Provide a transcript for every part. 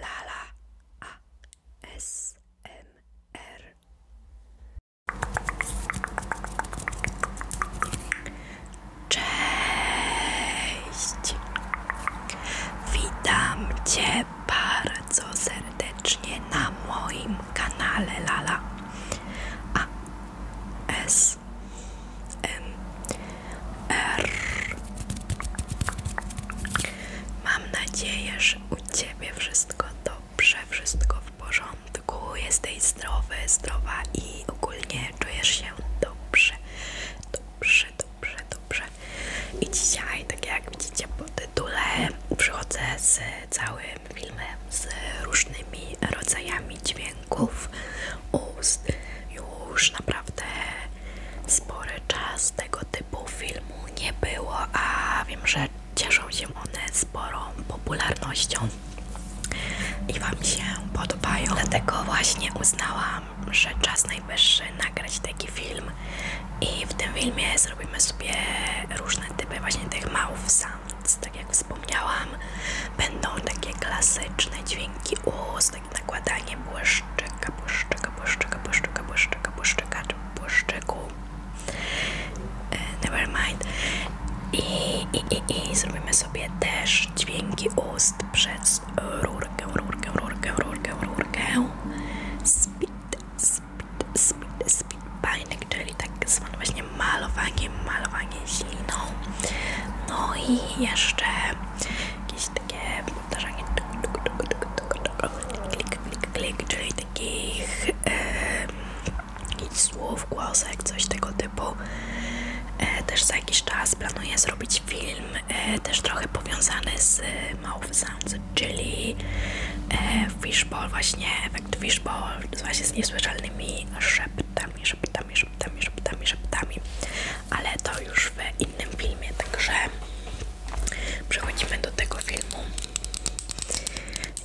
Lala ASMR. Cześć! Witam Cię bardzo serdecznie na moim kanale Lala ASMR. Mam nadzieję, że u Ciebie wszystko dobrze, wszystko w porządku, jesteś zdrowy, zdrowa i ogólnie czujesz się dobrze, dobrze, dobrze, dobrze. I dzisiaj, tak jak widzicie po tytule, przychodzę z całym filmem z różnymi rodzajami dźwięków ust. Już naprawdę spory czas tego typu filmu nie było, a wiem, że cieszą się one sporą popularnością i Wam się podobają. Dlatego właśnie uznałam, że czas najwyższy nagrać taki film i w tym filmie zrobimy sobie różne typy właśnie tych mouth sounds, tak jak wspomniałam. Będą takie klasyczne dźwięki ust, jest takie nakładanie błyszczyka, błyszczyka, błyszczyka, błyszczyka, błyszczyka, błyszczyka, czy błyszczyku. E, never mind. I, i, i, I zrobimy sobie też dźwięki ust przez rurkę, rurkę, rurkę, rurkę, rurkę. Spit, spit, spit, spit, bajnek, czyli tak samo właśnie malowanie, malowanie śliną. No i jeszcze jakieś takie powtarzanie klik, klik, klik, czyli takich e, słów, głosek, coś tego typu. E, też za jakiś czas planuję zrobić film, e, też trochę powiązany z Mouth Sounds, czyli e, Fishball, właśnie efekt Fishball, właśnie z niesłyszalnymi szeptami, szeptami, szeptami, szeptami, szeptami, ale to już w innym filmie, także Przechodzimy do tego filmu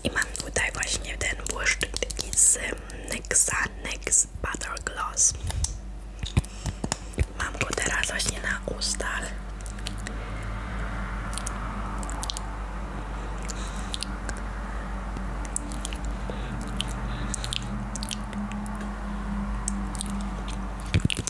i mam tutaj właśnie ten błyszczyk z NYXa NYX Butter Gloss mam go teraz właśnie na ustach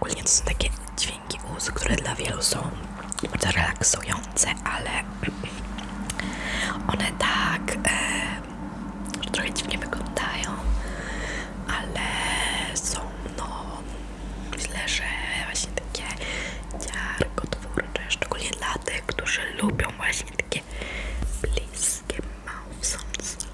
Ogólnie są takie dźwięki ust, które dla wielu są bardzo relaksujące, ale one tak e, trochę dziwnie wyglądają, ale są no Myślę, że właśnie takie dziarkotwórcze, szczególnie dla tych, którzy lubią właśnie takie bliskie mouth sounds.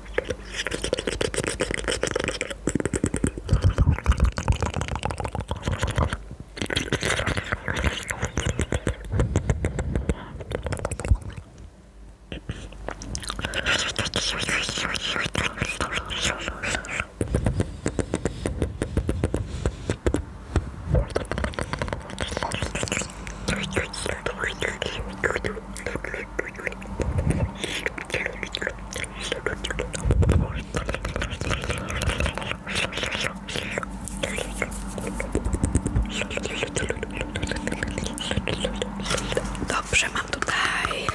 Dobrze, mam tutaj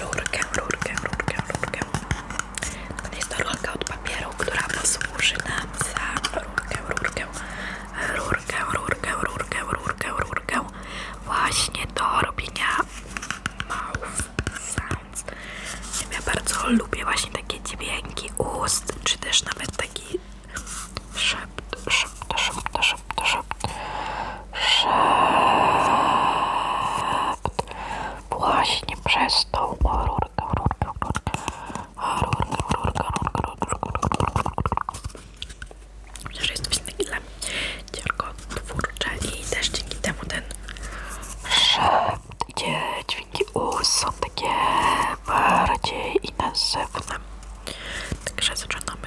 rurkę, rurkę, rurkę, rurkę. To jest to rurka od papieru, która posłuży nam za rurkę, rurkę, rurkę, rurkę, rurkę, rurkę, rurkę. Właśnie do robienia mouth sounds. Ja bardzo lubię właśnie takie dźwięki ust, czy też nawet taki szept, szept, szept, szept, szept, szept, szept. Właśnie przez tą rurkę, rurkę, rurkę, rurkę, rurkę, rurkę, rurkę, rurkę. Chociaż jest coś takiego dla mnie ciarkotwórcze i też dzięki temu ten szept, gdzie dźwięki U są takie bardziej intensywne. Także zaczynamy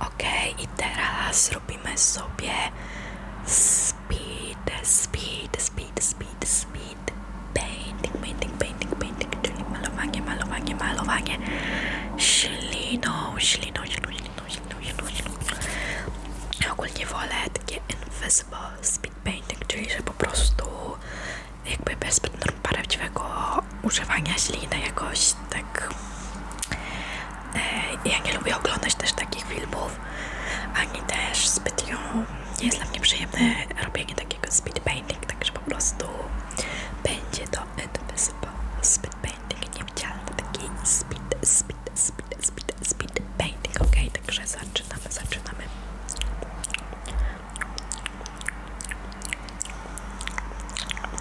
Ok, i teraz robimy sobie speed, speed, speed, speed, speed painting, painting, painting, painting, czyli malowanie, malowanie, malowanie śliną, śliną, śliną, śliną, śliną, śliną, śliną. Ogólnie wolę takie invisible speed painting, czyli że po prostu jakby bez prawdziwego używania śliny jakoś tak E, ja nie lubię oglądać też takich filmów, ani też zbytnio nie jest dla mnie przyjemne robienie takiego speedpainting, także po prostu będzie to edpesypa. Speed speedpainting, nie widziałam takiego speed, speed, speed, speed, speedpainting. painting, ok? Także zaczynamy, zaczynamy.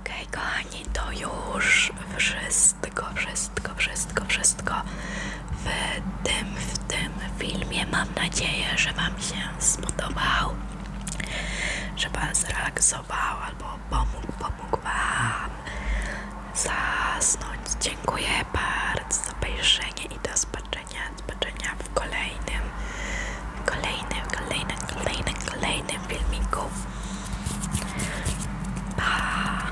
Okej, okay, to już wszystko, wszystko, wszystko, wszystko w tym, w tym filmie. Mam nadzieję, że Wam się spodobał, żeby Pan zrelaksował albo pomógł, pomógł Wam zasnąć. Dziękuję bardzo za obejrzenie i do zobaczenia, zobaczenia w kolejnym, kolejnym, kolejnym, kolejnym, kolejnym filmiku. Pa!